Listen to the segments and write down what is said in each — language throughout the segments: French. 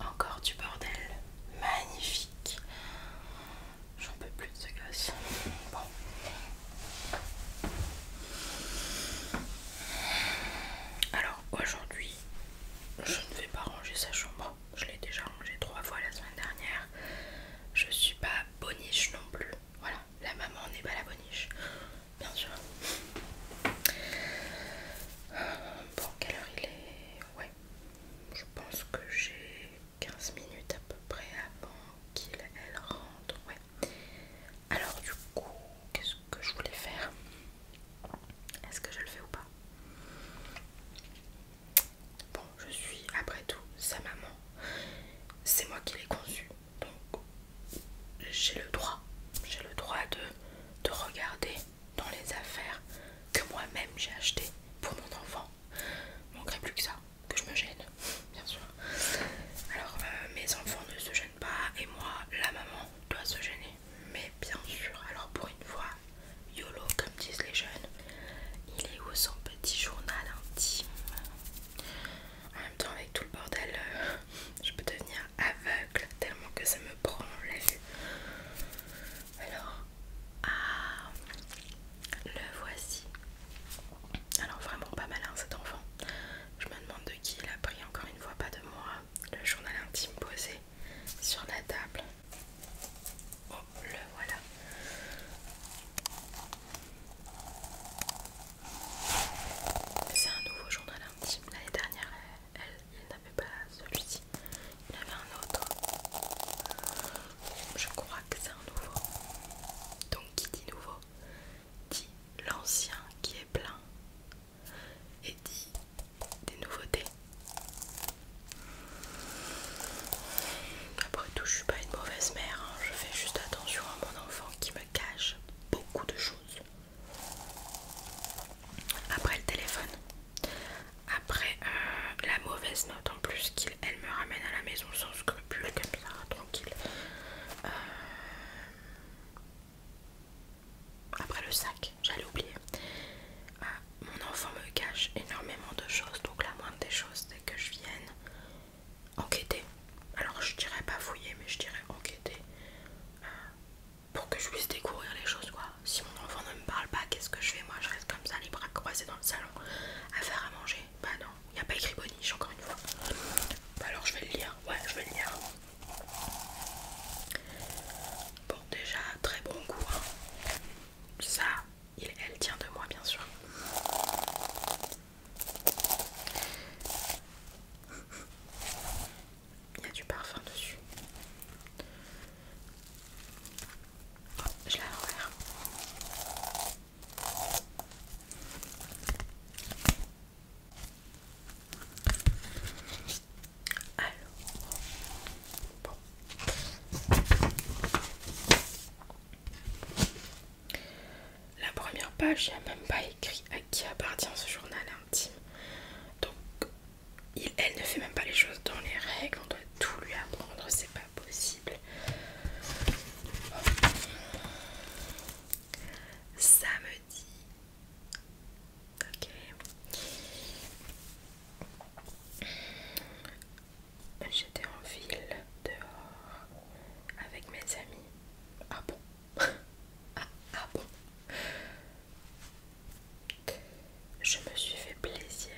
Encore du bordel, magnifique. J'en peux plus de ce gosse. Bon. Alors aujourd'hui, je ne vais pas ranger sa chambre. Je l'ai déjà rangée trois fois la semaine dernière. Je suis pas boniche non plus. Voilà, la maman n'est pas la boniche, bien sûr. Bon, quelle heure il est Ouais, je pense que j'ai 15 minutes à peu près avant qu'il rentre. Ouais. Alors du coup, qu'est-ce que je voulais faire est-ce que je le fais ou pas Bon, je suis après tout sa maman. C'est moi qui l'ai conçu, Donc j'ai le droit. J'ai le droit de, regarder dans les affaires que moi-même j'ai achetées pour mon enfant. Il manquerait plus que ça, que je me gêne, bien sûr. Alors euh, mes enfants ne se gênent pas bah, et moi la maman doit se gêner mais bien sûr alors pour une fois YOLO comme disent les jeunes il est où son petit journal intime en même temps avec tout le bordel euh, je peux devenir aveugle tellement que ça me prend la alors ah le voici alors vraiment pas malin cet enfant je me demande de qui il a pris encore une fois pas de moi le journal intime posé sur la table. Oh, le voilà. C'est un nouveau journal intime. L'année dernière, elle, n'avait pas celui-ci. Il avait un autre. Je crois que c'est un nouveau. Donc qui dit nouveau dit l'ancien qui est plein et dit des nouveautés. Après tout, je suis pas une mauvaise mère, hein. je fais juste attention à mon enfant qui me cache beaucoup de choses. Après le téléphone, après euh, la mauvaise note en plus qu'elle me ramène à la maison sans scrupule, comme ça, tranquille. Euh, après le sac, j'allais oublier. Euh, mon enfant me cache énormément de choses, donc la moindre des choses c'est que je vienne enquêter. Alors je dirais pas fouiller, mais je dirais enquêter euh, pour que je puisse découvrir les choses quoi. Si mon enfant ne me parle pas, qu'est-ce que je fais Moi je reste comme ça, les bras croisés dans le salon, à faire à manger. Bah non, il n'y a pas écrit bonniche encore une fois. Bah alors je vais le lire, ouais je vais le lire. Bon déjà très bon goût hein. Ça il, elle tient de moi bien sûr Il y a du parfum dessus Je la l'envers alors, La première page, il n'y a même pas écrit à qui appartient ce journal intime. Donc, elle ne fait même pas les choses dans les règles. On doit tout lui apprendre, c'est pas possible. Ça me J'étais en ville dehors avec mes amis. Ah bon ah, ah, bon Je me suis fait plaisir.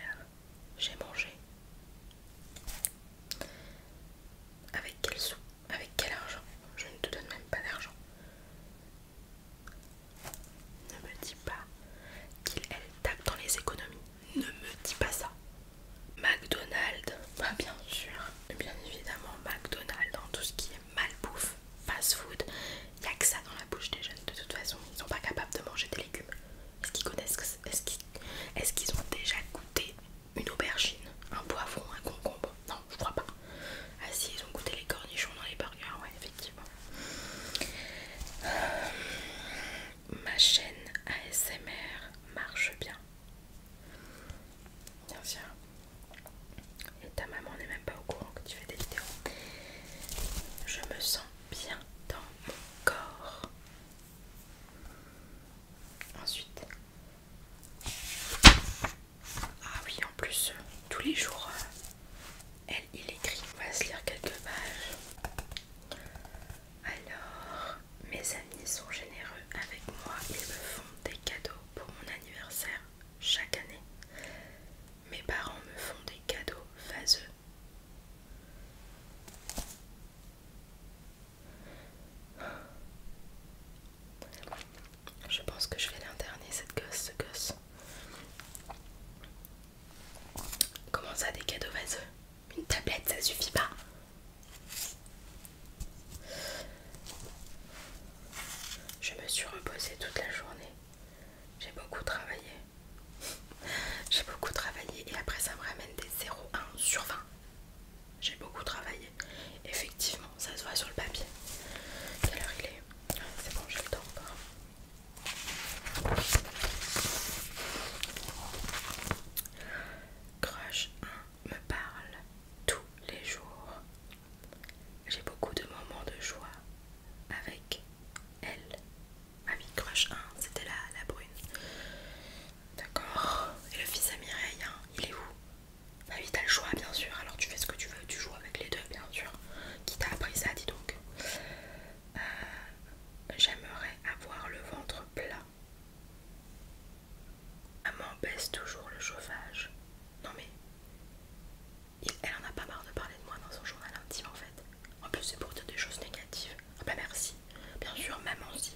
J'ai mangé. Avec quel sou avec quel argent Je ne te donne même pas d'argent. Ne me dis pas qu'il tape dans les économies. Ne me dis pas ça. McDonald's, bah, bien sûr, bien évidemment McDonald's dans tout ce qui est malbouffe, fast food, y a que ça dans la bouche des jeunes de toute façon, ils sont pas capables de manger des légumes. Est-ce qu'ils connaissent, est-ce qu'ils ont déjà goûté une aubergine, un poivron, un concombre. Non, je crois pas. Ah si, ils ont goûté les cornichons dans les burgers, ouais, effectivement. Euh, ma chaîne ASMR marche bien. Bien sûr. Et ta maman n'est même pas au courant que tu fais des vidéos. Je me sens bien dans mon corps. Ensuite, ah oui, en plus, euh, tous les jours, euh, elle, il écrit. On va se lire quelques pages. Alors, mes amis sont généreux avec moi. et me font des cadeaux pour mon anniversaire chaque année. Mes parents me font des cadeaux vaseux. Je pense que je vais l'interner cette gosse, ce gosse. Comment ça, des cadeaux vaseux Une tablette, ça suffit pas. Je me suis reposée toute la journée. J'ai beaucoup travaillé. J'ai beaucoup travaillé et après ça me ramène des 0,1 sur 20 j'ai beaucoup travaillé. Effectivement, ça se voit sur le papier. Quelle heure il est C'est bon, j'ai le temps Crush 1 hein, me parle tous les jours. J'ai beaucoup de moments de joie avec elle. ami ah Crush 1, hein, c'était la, brune. D'accord. Et le fils à hein, il est où bah oui, t'as le choix, bien sûr. Alors tu fais ce que tu veux, tu joues avec les deux, bien sûr. Qui t'a appris ça, dis donc. Euh, j'aimerais avoir le ventre plat. Maman baisse toujours le chauffage. Non mais... elle en a pas marre de parler de moi dans son journal intime en fait. En plus c'est pour dire des choses négatives. Ah bah merci. Bien sûr, maman si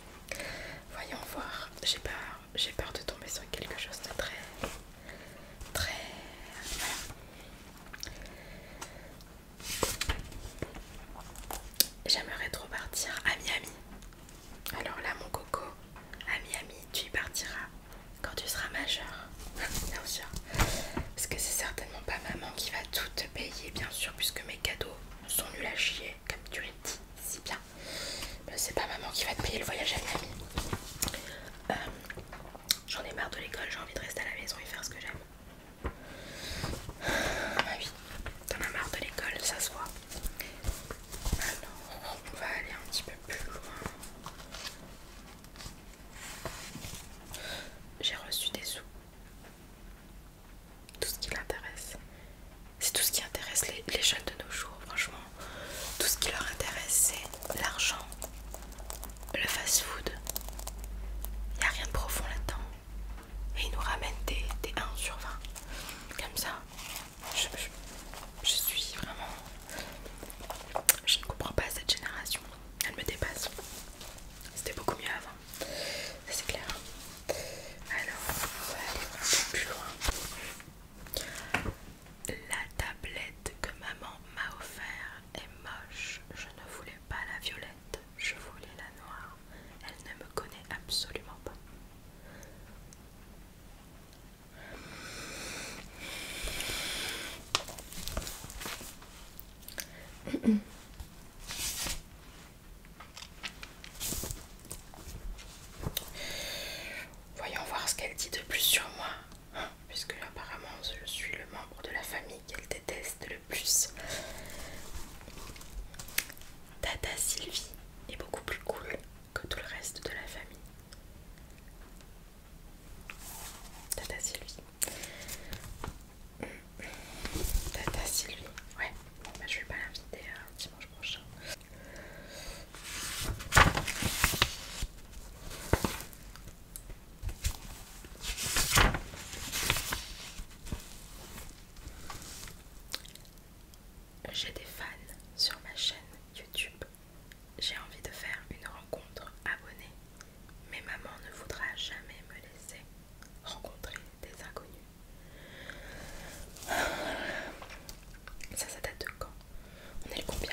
Voyons voir. J'ai peur, j'ai peur de tomber sur quelque chose de très, très. J'aimerais trop partir à Miami. Alors là, mon coco, à Miami, tu y partiras quand tu seras majeur, bien sûr. Parce que c'est certainement pas maman qui va tout te payer, bien sûr, puisque mes cadeaux sont nuls à chier comme tu l'as dit si bien. Euh, c'est pas maman qui va te payer le voyage à la Euh, j'en ai marre de l'école, j'ai envie de rester à la maison et faire ce que j'aime. Ma ah, vie, bah t'en as marre de l'école, ça se voit. Alors, on va aller un petit peu plus loin. J'ai reçu des sous tout ce qui l'intéresse. C'est tout ce qui intéresse les, jeunes de nos jours, franchement. Tout ce qui leur intéresse, c'est l'argent, le fast-food. Il n'y a rien de profond là-dedans. Et ils nous ramènent des, 1 sur 20. Comme ça, je suis vraiment... Je ne comprends pas cette génération. Elle me dépasse. C'était beaucoup mieux avant c'est clair. Alors, on va aller un peu plus loin. La tablette que maman m'a offert est moche. Je ne voulais pas la violette, je voulais la noire. Elle ne me connaît absolument pas. Voyons voir ce qu'elle dit de plus sur moi, hein, puisque apparemment je suis le membre de la famille qu'elle déteste le plus. Tata Sylvie est beaucoup plus cool que tout le reste de la famille. Tata Sylvie. Tata Sylvie, ouais, bah, je vais pas l'inviter euh, dimanche prochain. J'ai des fans sur ma chaîne YouTube. J'ai envie de faire une rencontre abonnée mais maman ne voudra jamais me laisser rencontrer des inconnus. Ça, ça date de quand On est le combien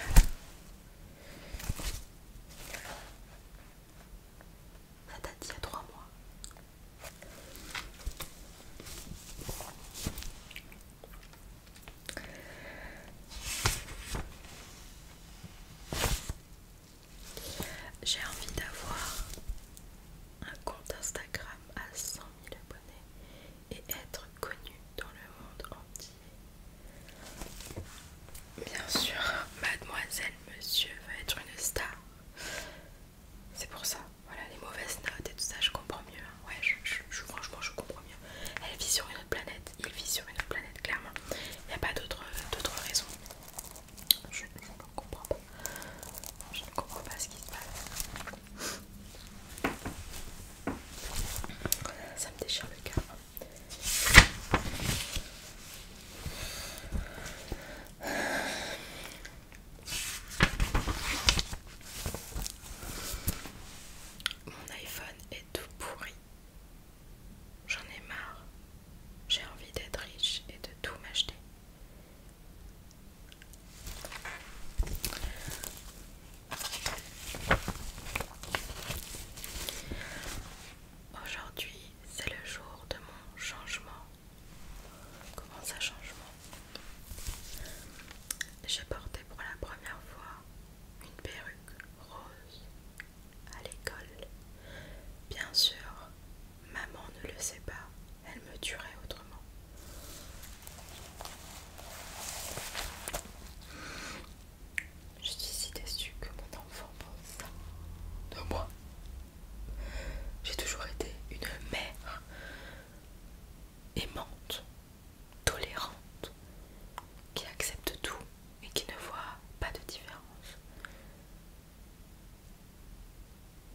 Ça date d'il y a trois mois. J'ai envie d'avoir un compte Instagram à 100 000 abonnés et être connue dans le monde entier. Bien sûr, mademoiselle, monsieur va être une star. C'est pour ça, voilà, les mauvaises notes et tout ça, je comprends mieux. Hein. Ouais, franchement, je comprends mieux. Elle vit sur une autre planète, il vit sur une autre planète, clairement. Il n'y a pas d'autres raisons. Je, ne comprends pas. Je ne comprends pas ce qui se passe. Ça me déchire le cœur. Mon iPhone est tout pourri. J'en ai marre. J'ai envie d'être riche et de tout m'acheter. Aujourd'hui, c'est le jour de mon changement. Comment ça changement J'ai porté pour la première fois une perruque rose à l'école. Bien sûr, maman ne le sait pas, elle me tuerait autrement. Je suis si déçue que mon enfant pense ça de moi. J'ai toujours été une mère aimante, tolérante, qui accepte tout et qui ne voit pas de différence.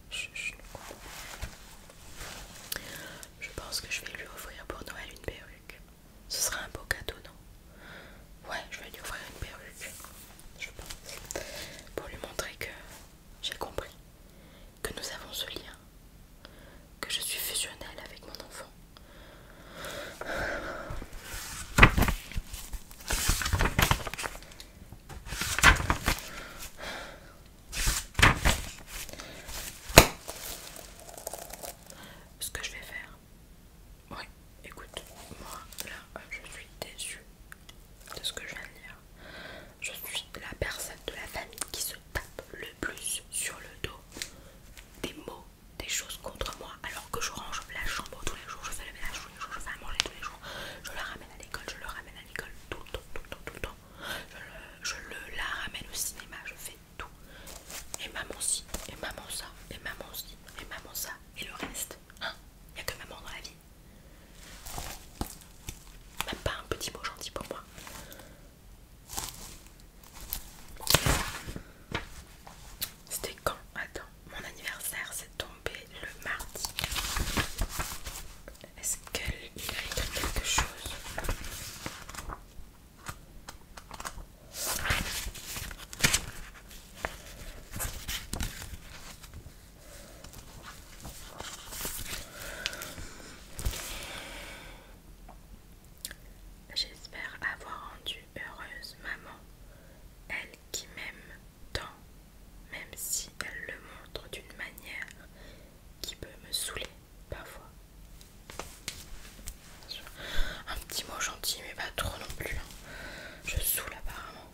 Je, je pense que je vais lui offrir pour Noël une perruque. Ce sera un beau cadeau, non Ouais, je vais lui offrir une perruque. Je pense. Pour lui montrer que j'ai compris. Que nous avons ce lien. Que je suis fusionnelle avec mon enfant. Ce que je vais faire, ouais, écoute, moi là euh, je suis déçue de ce que je viens de dire. Je suis la personne de la famille qui se tape le plus sur le dos des mots des choses contre moi alors que je range la chambre tous les jours, je fais le ménage tous les jours, je fais à manger tous les jours, je la ramène à l'école, je le ramène à l'école tout le temps, tout le temps, tout le temps, je, le, la ramène au cinéma, je fais tout. Et maman ci, et maman ça, et maman ci, et maman ça, et le reste. Hein Il a que maman dans la vie. Même pas un petit mot gentil pour moi. C'était quand Attends, mon anniversaire s'est tombé le mardi. Est-ce qu'il a écrit quelque chose J'espère avoir rendu heureuse maman elle qui m'aime tant, même si elle le montre d'une manière qui peut me saouler parfois. Un petit mot gentil, mais pas trop non plus. Hein. Je saoule apparemment.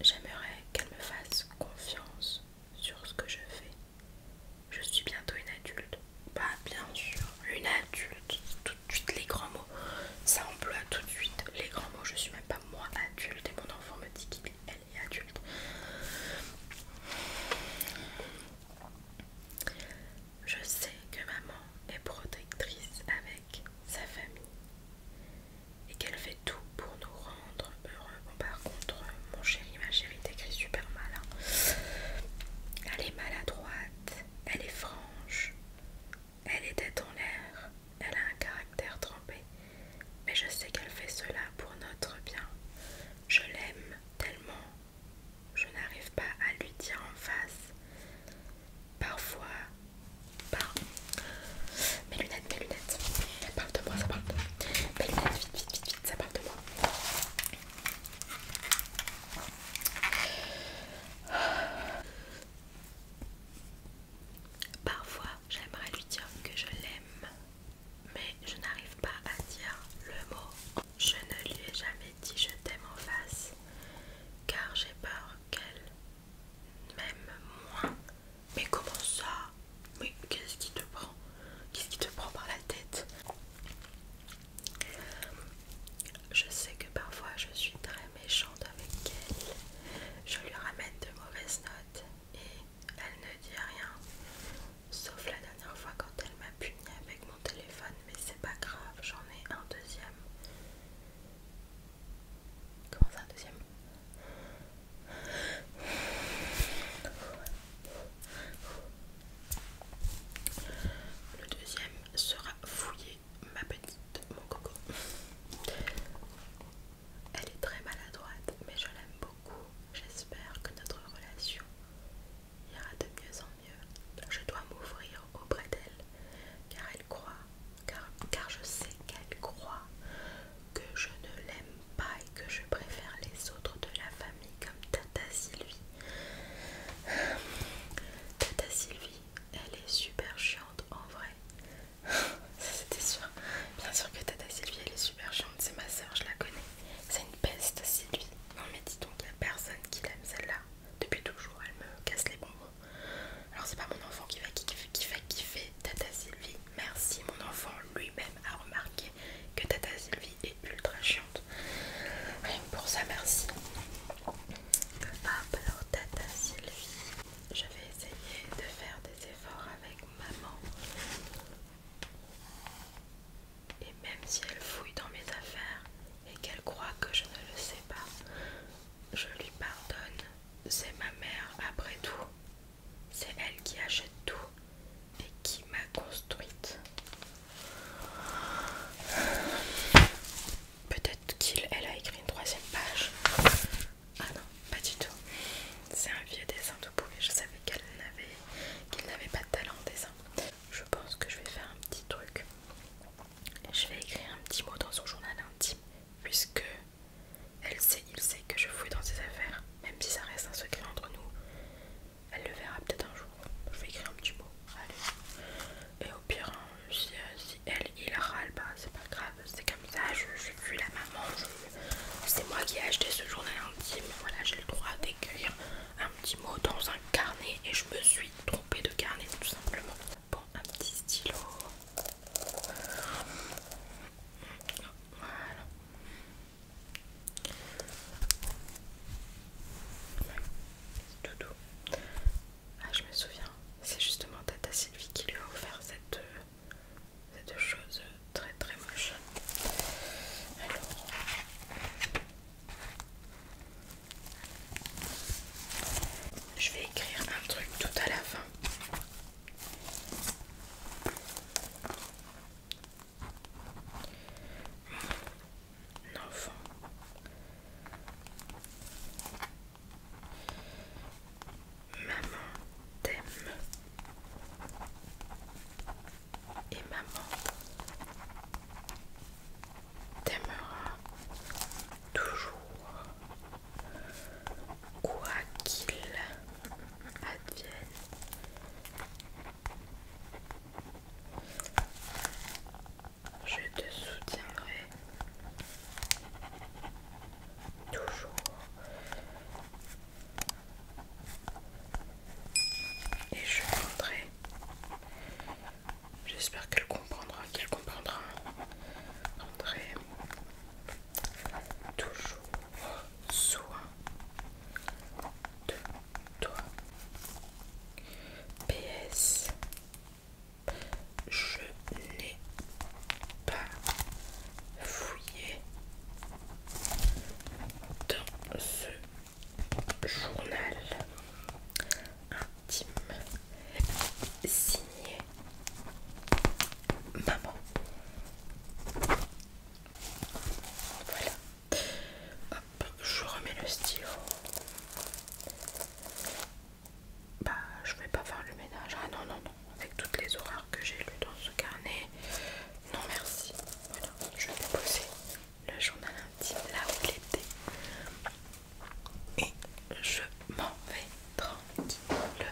J'aimerais qu'elle me fasse confiance sur ce que je fais je suis bientôt une adulte. Pas bah, bien sûr, une adulte. Tout de suite les grands mots. Ça emploie tout de suite les grands mots. Je suis même pas moi adulte et mon enfant me dit qu'il est adulte. Je sais que maman est protectrice avec sa famille et qu'elle fait tout pour nous rendre heureux. par contre, mon chéri, ma chérie, t'écris super malin. Hein. Elle est maladroite, elle est franche, elle est tête en l'air, elle a un caractère trempé, mais je sais qu'elle fait cela pour notre bien. Je l'aime tellement, je n'arrive pas à lui dire en face. Parfois, par... Mes lunettes, mes lunettes, ça parle de moi, ça parle de moi. Mes lunettes, vite, vite, vite, vite, ça parle de moi. Parfois, j'aimerais lui dire que je l'aime, mais je n'arrive pas à dire le mot. Je ne lui ai jamais dit je t'aime en face, car j'ai peur qu'elle m'aime moins. Mais comment ça Mais qu'est-ce qui te prend Qu'est-ce qui te prend par la tête je sais que parfois je suis très méchante avec elle. Je lui ramène de mauvaises notes et elle ne dit rien. Sauf la dernière fois quand elle m'a punie avec mon téléphone, mais c'est pas grave, j'en ai un deuxième. Comment ça, un deuxième le deuxième sera fouiller ma petite, mon coco. Elle est très maladroite, mais je l'aime beaucoup. J'espère que notre relation ira de mieux en mieux. Je dois m'ouvrir auprès d'elle, car elle croit, car, car je sais qu'elle croit que je ne l'aime pas que je préfère les autres de la famille comme Tata Sylvie. Tata Sylvie, elle est super chiante en vrai. Ça c'était sûr. Bien sûr que Tata Sylvie, elle est super chiante. C'est ma soeur, je la connais. C'est une peste Sylvie. Non mais dis donc, il n'y a personne qui l'aime celle-là. Depuis toujours, elle me casse les bonbons. Alors c'est pas mon enfant qui va kiffer, qui fait kiffer Tata Sylvie. Merci mon enfant lui-même a remarqué que Tata Sylvie et ultra chiante. Rien pour ça, merci. Hop, alors Tata Sylvie, je vais essayer de faire des efforts avec maman. Et même si elle fouille dans mes affaires et qu'elle croit que je ne le sais pas, je lui pardonne. C'est ma mère après tout. C'est elle qui achète tout et qui m'a construite. Peut-être qu'elle a écrit une troisième page. Ah non, pas du tout. C'est un vieux dessin de pourri. Je savais qu'elle n'avait qu'il n'avait pas de talent en dessin. Je pense que je vais faire un petit truc. Je vais écrire un petit mot dans son journal intime, puisque elle sait, il sait que je fouille dans ses affaires, même si ça reste un secret entre nous. Elle le verra peut-être un jour. Je vais écrire un petit mot. Allez. Et au pire, hein, euh, si, elle, il râle, bah c'est pas grave. C'est comme ça, je, je la maman. C'est moi qui ai acheté ce journal intime. Voilà, j'ai le droit d'écrire un petit mot dans un carnet. Et je me suis trompée de carnet, tout simplement. Bon, un petit stylo. Voilà tout Ah, je me souviens, c'est justement Tata Sylvie qui lui a offert cette, euh, cette chose très très moche. Alors. Je vais écrire un truc tout à la fin. Maman t'aime. Et maman t'aimera toujours. Quoi qu'il advienne, je te soutiendrai toujours. Et je montrerai. J'espère qu'elle comprendra, qu'elle comprendra. André, toujours soin de toi. PS Je n'ai pas fouillé dans ce journal intime signé maman voilà. Hop, je remets le stylo. Bah, je vais pas faire le ménage. Ah non, non, non. Avec toutes les horaires que j'ai lues dans ce carnet. Non, merci. je vais déposer le journal intime là où il était. Et je m'en vais tranquillement.